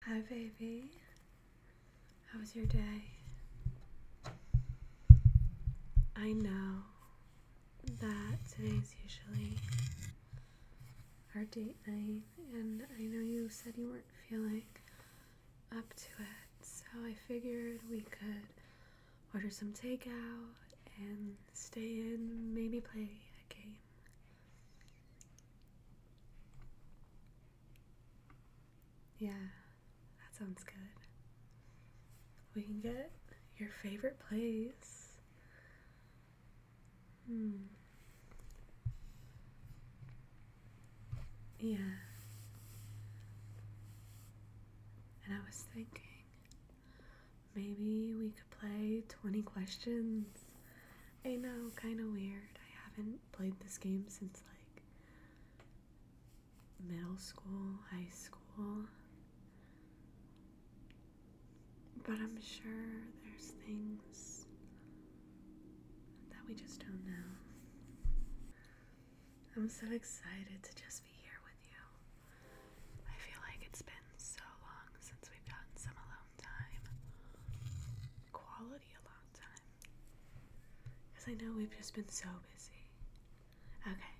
Hi, baby. How was your day? I know that today's usually our date night, and I know you said you weren't feeling up to it, so I figured we could order some takeout and stay in, maybe play a game. Yeah, that sounds good. We can get your favorite place. Hmm. Yeah. And I was thinking maybe we could play 20 questions I know, kind of weird. I haven't played this game since like middle school, high school. But I'm sure there's things that we just don't know. I'm so excited to just be here with you. I feel like it's been so long since we've gotten some alone time. Quality a long time. Because I know we've just been so busy. Okay.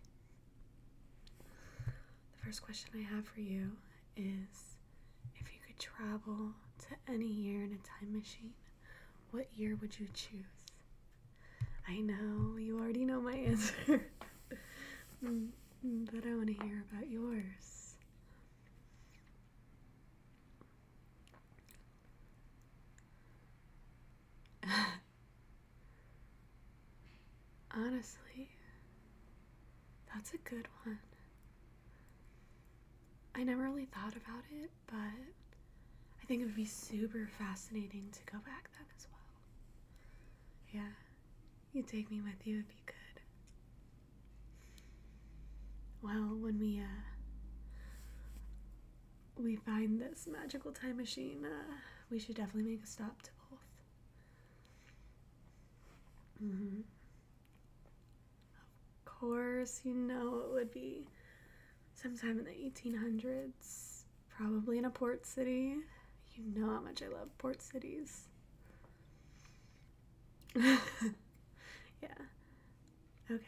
The first question I have for you is if you could travel to any year in a time machine, what year would you choose? I know you already know my answer, mm, mm, but I want to hear about yours. Honestly, that's a good one. I never really thought about it, but I think it would be super fascinating to go back then as well. Yeah. You'd take me with you if you could. Well, when we uh, we find this magical time machine, uh, we should definitely make a stop to both. Mm-hmm. Of course, you know it would be sometime in the 1800s, probably in a port city. You know how much I love port cities. yeah. Okay.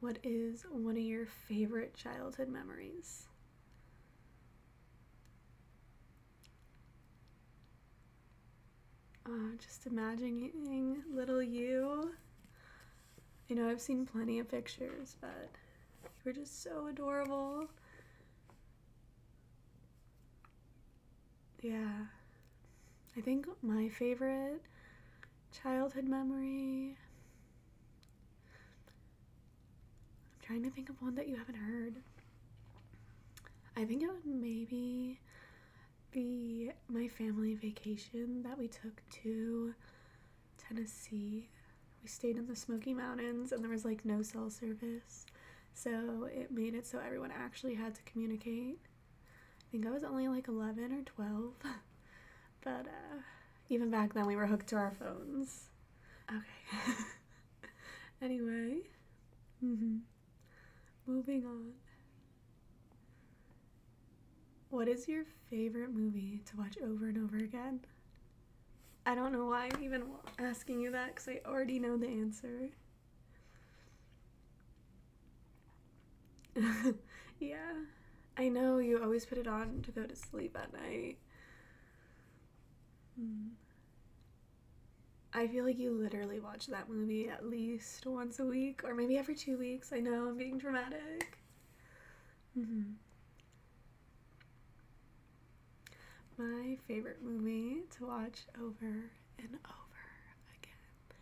What is one of your favorite childhood memories? Uh, just imagining little you. You know, I've seen plenty of pictures, but you were just so adorable yeah. I think my favorite childhood memory. I'm trying to think of one that you haven't heard. I think it would maybe be my family vacation that we took to Tennessee. We stayed in the Smoky Mountains and there was like no cell service. So it made it so everyone actually had to communicate. I think I was only like 11 or 12. but uh, even back then, we were hooked to our phones. Okay. anyway, mm-hmm. moving on. What is your favorite movie to watch over and over again? I don't know why I'm even asking you that because I already know the answer. yeah, I know you always put it on to go to sleep at night. Hmm. I feel like you literally watch that movie at least once a week or maybe every two weeks. I know I'm being dramatic. Mm-hmm. My favorite movie to watch over and over again.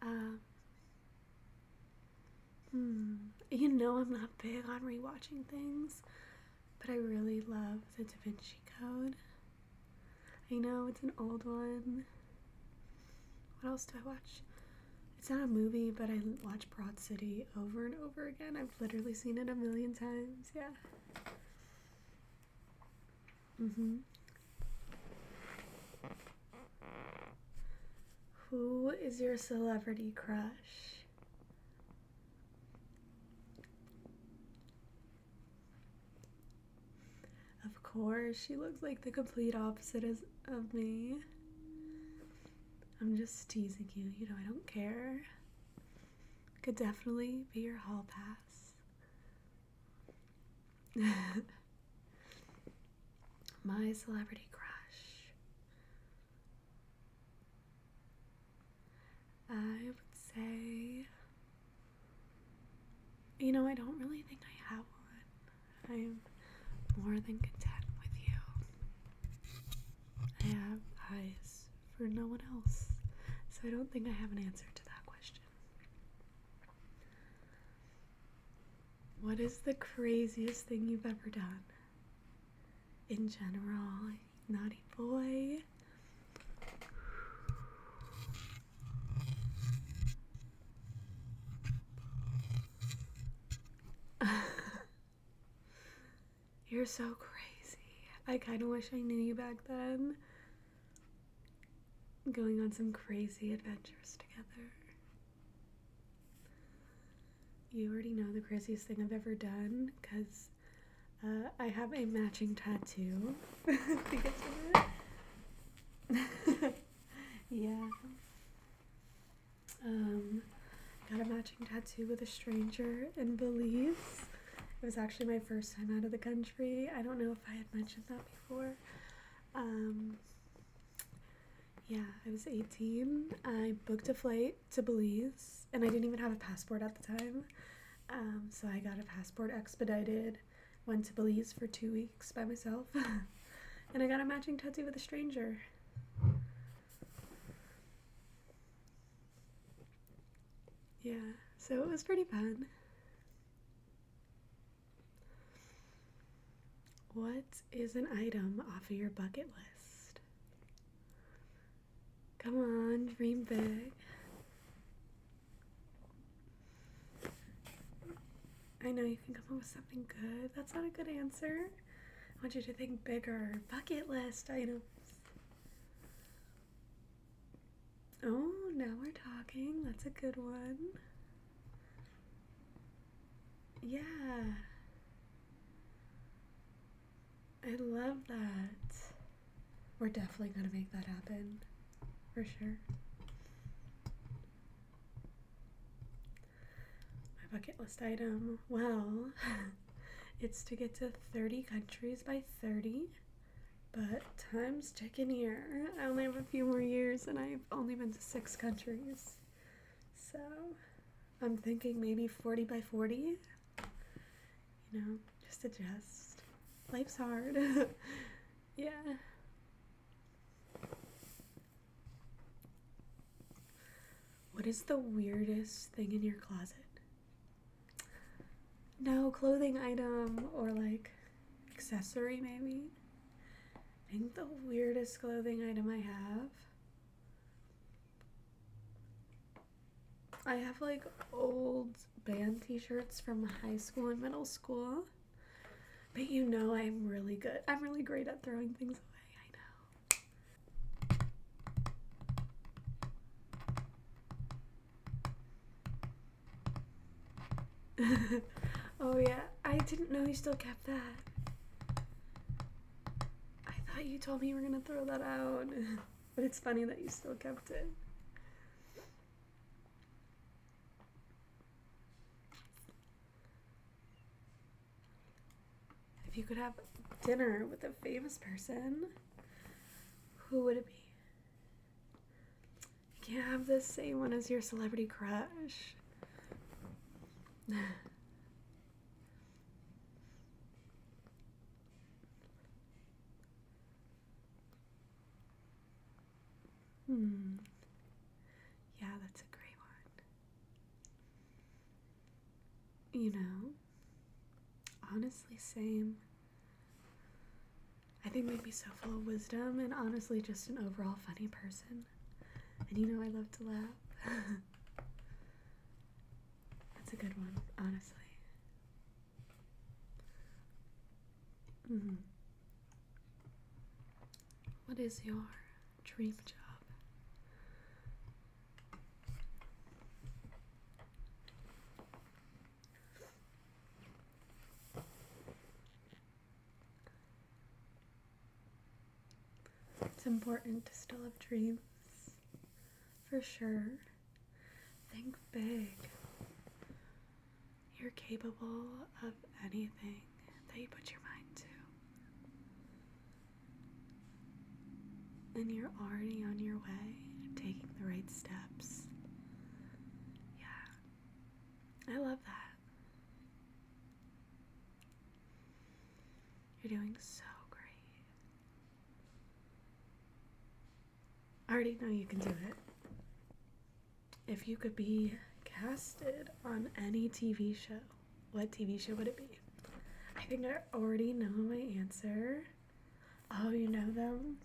Um, hmm, you know, I'm not big on rewatching things, but I really love The Da Vinci Code. I know it's an old one. What else do I watch? It's not a movie, but I watch Broad City over and over again. I've literally seen it a million times. Yeah. Mhm. Mm Who is your celebrity crush? Of course, she looks like the complete opposite of me. I'm just teasing you. You know, I don't care. Could definitely be your hall pass. My celebrity crush. I would say, you know, I don't really think I have one. I am more than content with you. I have eyes for no one else, so I don't think I have an answer to that question. What is the craziest thing you've ever done? In general, naughty boy. You're so crazy. I kind of wish I knew you back then. Going on some crazy adventures together. You already know the craziest thing I've ever done because uh, I have a matching tattoo. yeah. Um, got a matching tattoo with a stranger in Belize. It was actually my first time out of the country. I don't know if I had mentioned that before. Um, yeah, I was 18. I booked a flight to Belize, and I didn't even have a passport at the time. Um, so I got a passport expedited, went to Belize for two weeks by myself. and I got a matching tattoo with a stranger. Yeah, so it was pretty fun. What is an item off of your bucket list? Come on, dream big. I know you can come up with something good. That's not a good answer. I want you to think bigger. Bucket list items. Oh, now we're talking. That's a good one. Yeah. I love that. We're definitely going to make that happen. For sure my bucket list item. Well, it's to get to 30 countries by 30, but time's ticking here. I only have a few more years and I've only been to six countries. So I'm thinking maybe 40 by 40. You know, just adjust. Life's hard. yeah. What is the weirdest thing in your closet? No, clothing item or like accessory, maybe. I think the weirdest clothing item I have. I have like old band t shirts from high school and middle school. But you know I'm really good. I'm really great at throwing things away, I know. oh yeah, I didn't know you still kept that. I thought you told me you were gonna throw that out. but it's funny that you still kept it. If you could have dinner with a famous person, who would it be? can't have the same one as your celebrity crush. Hmm. Yeah, that's a great one. You know, honestly, same. I think they'd be so full of wisdom and honestly just an overall funny person. And you know, I love to laugh. that's a good one, honestly. Mm-hmm. What is your dream job? It's important to still have dreams, for sure. Think big. You're capable of anything that you put your mind to. And you're already on your way, taking the right steps. Yeah. I love that. You're doing so great. I already know you can do it. If you could be casted on any TV show, what TV show would it be? I think I already know my answer. Oh, you know them?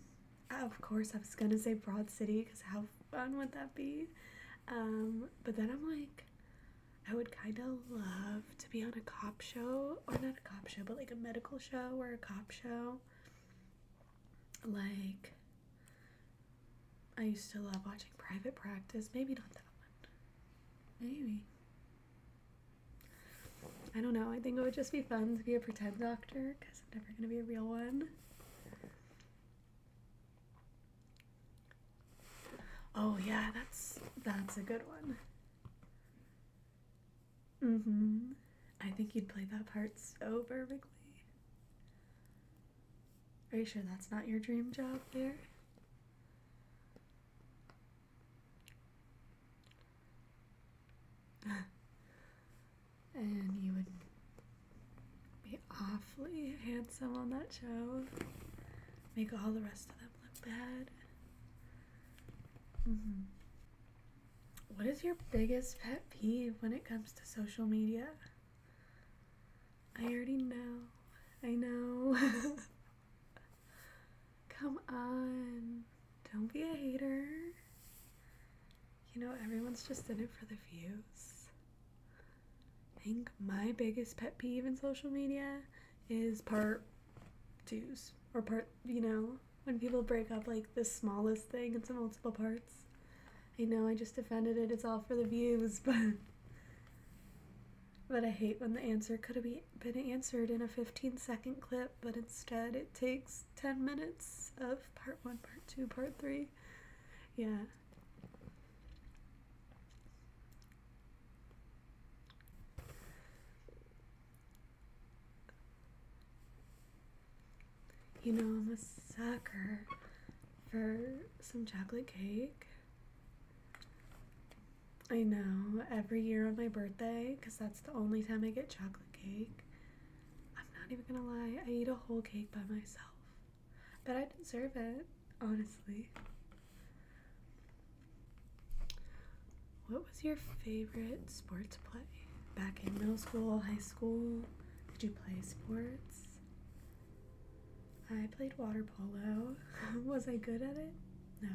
Of course, I was gonna say Broad City because how fun would that be? Um, but then I'm like, I would kind of love to be on a cop show, or not a cop show, but like a medical show or a cop show. Like, I used to love watching private practice. Maybe not that one. Maybe. I don't know. I think it would just be fun to be a pretend doctor because I'm never going to be a real one. Oh yeah, that's that's a good one. Mm-hmm. I think you'd play that part so perfectly. Are you sure that's not your dream job there? and you would be awfully handsome on that show. Make all the rest of them look bad. Mm-hmm. What is your biggest pet peeve when it comes to social media? I already know. I know. Come on. Don't be a hater. You know, everyone's just in it for the views. I think my biggest pet peeve in social media is part twos or part, you know, when people break up like the smallest thing into multiple parts. I know I just defended it, it's all for the views, but but I hate when the answer could have been answered in a 15 second clip, but instead it takes 10 minutes of part one, part two, part three. Yeah. You know, I'm a sucker for some chocolate cake. I know, every year on my birthday, because that's the only time I get chocolate cake. I'm not even gonna lie, I eat a whole cake by myself. But I deserve it, honestly. What was your favorite sports play back in middle school, high school? Did you play sports? I played water polo. was I good at it? No.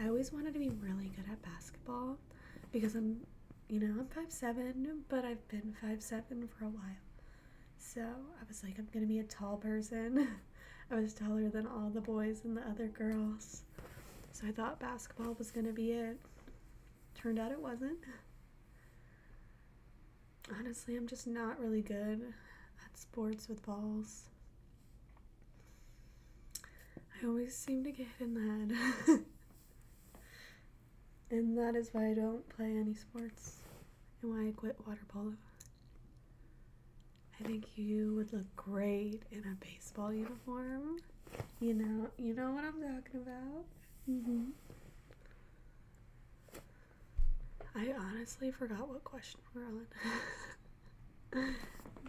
I always wanted to be really good at basketball because I'm, you know, I'm five seven, but I've been five seven for a while. So I was like, I'm gonna be a tall person. I was taller than all the boys and the other girls. So I thought basketball was going to be it. Turned out it wasn't. Honestly, I'm just not really good at sports with balls. I always seem to get in the head. and that is why I don't play any sports and why I quit water polo. I think you would look great in a baseball uniform. You know, you know what I'm talking about. Mm-hmm. I honestly forgot what question we're on.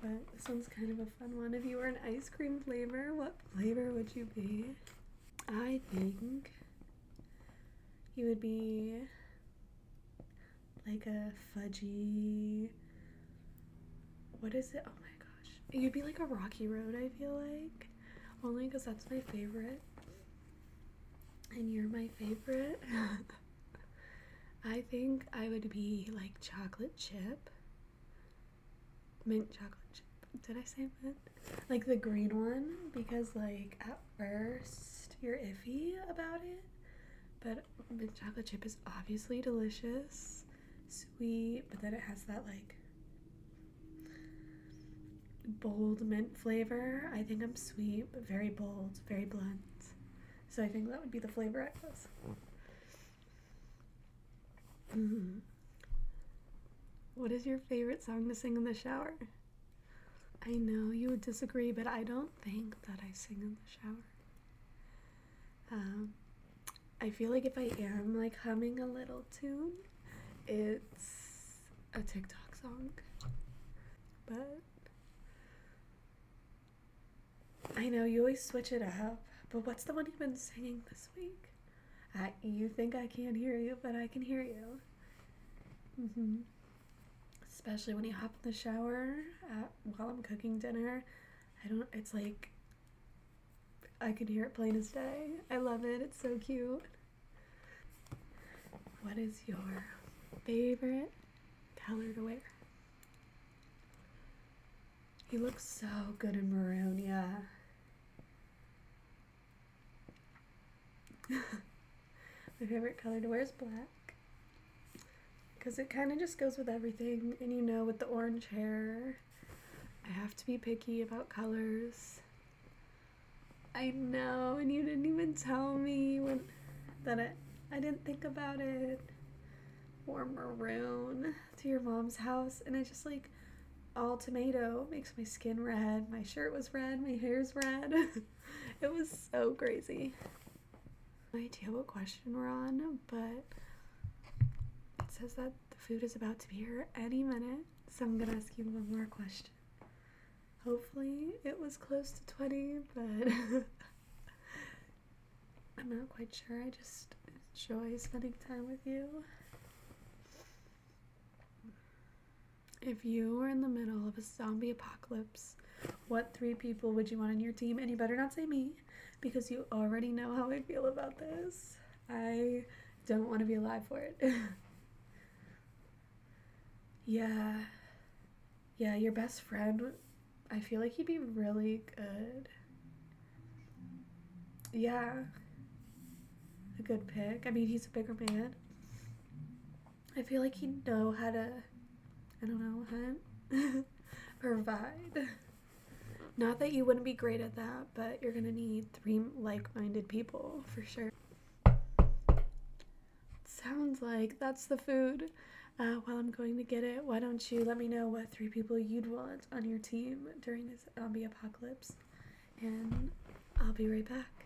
but this one's kind of a fun one. If you were an ice cream flavor, what flavor would you be? I think you would be like a fudgy what is it oh my gosh you would be like a rocky road i feel like only because that's my favorite and you're my favorite i think i would be like chocolate chip mint chocolate chip did i say mint like the green one because like at first you're iffy about it but mint chocolate chip is obviously delicious, sweet, but then it has that like bold mint flavor. I think I'm sweet, but very bold, very blunt. So I think that would be the flavor I guess. Mm-hmm. What is your favorite song to sing in the shower? I know you would disagree, but I don't think that I sing in the shower. Um, I feel like if I am like humming a little tune, it's a TikTok song. But I know you always switch it up, but what's the one you've been singing this week? you think I can't hear you, but I can hear you. Mm hmm especially when you hop in the shower while I'm cooking dinner. I don't, it's like, I can hear it plain as day. I love it, it's so cute. What is your favorite color to wear? You look so good in maroon, yeah. My favorite color to wear is black because it kind of just goes with everything and you know with the orange hair I have to be picky about colors. I know and you didn't even tell me when that I, I didn't think about it or maroon to your mom's house and it's just like all tomato makes my skin red my shirt was red my hair's red it was so crazy no idea what question we're on, but it says that the food is about to be here any minute, so I'm gonna ask you one more question. Hopefully, it was close to 20, but I'm not quite sure. I just enjoy spending time with you. If you were in the middle of a zombie apocalypse, what three people would you want on your team? And you better not say me because you already know how I feel about this. I don't want to be alive for it. yeah. Yeah, your best friend, I feel like he'd be really good. Yeah. A good pick. I mean, he's a bigger man. I feel like he'd know how to, I don't know, provide. Not that you wouldn't be great at that, but you're gonna need three like minded people for sure. Sounds like that's the food. Uh, while I'm going to get it, why don't you let me know what three people you'd want on your team during this zombie apocalypse? And I'll be right back.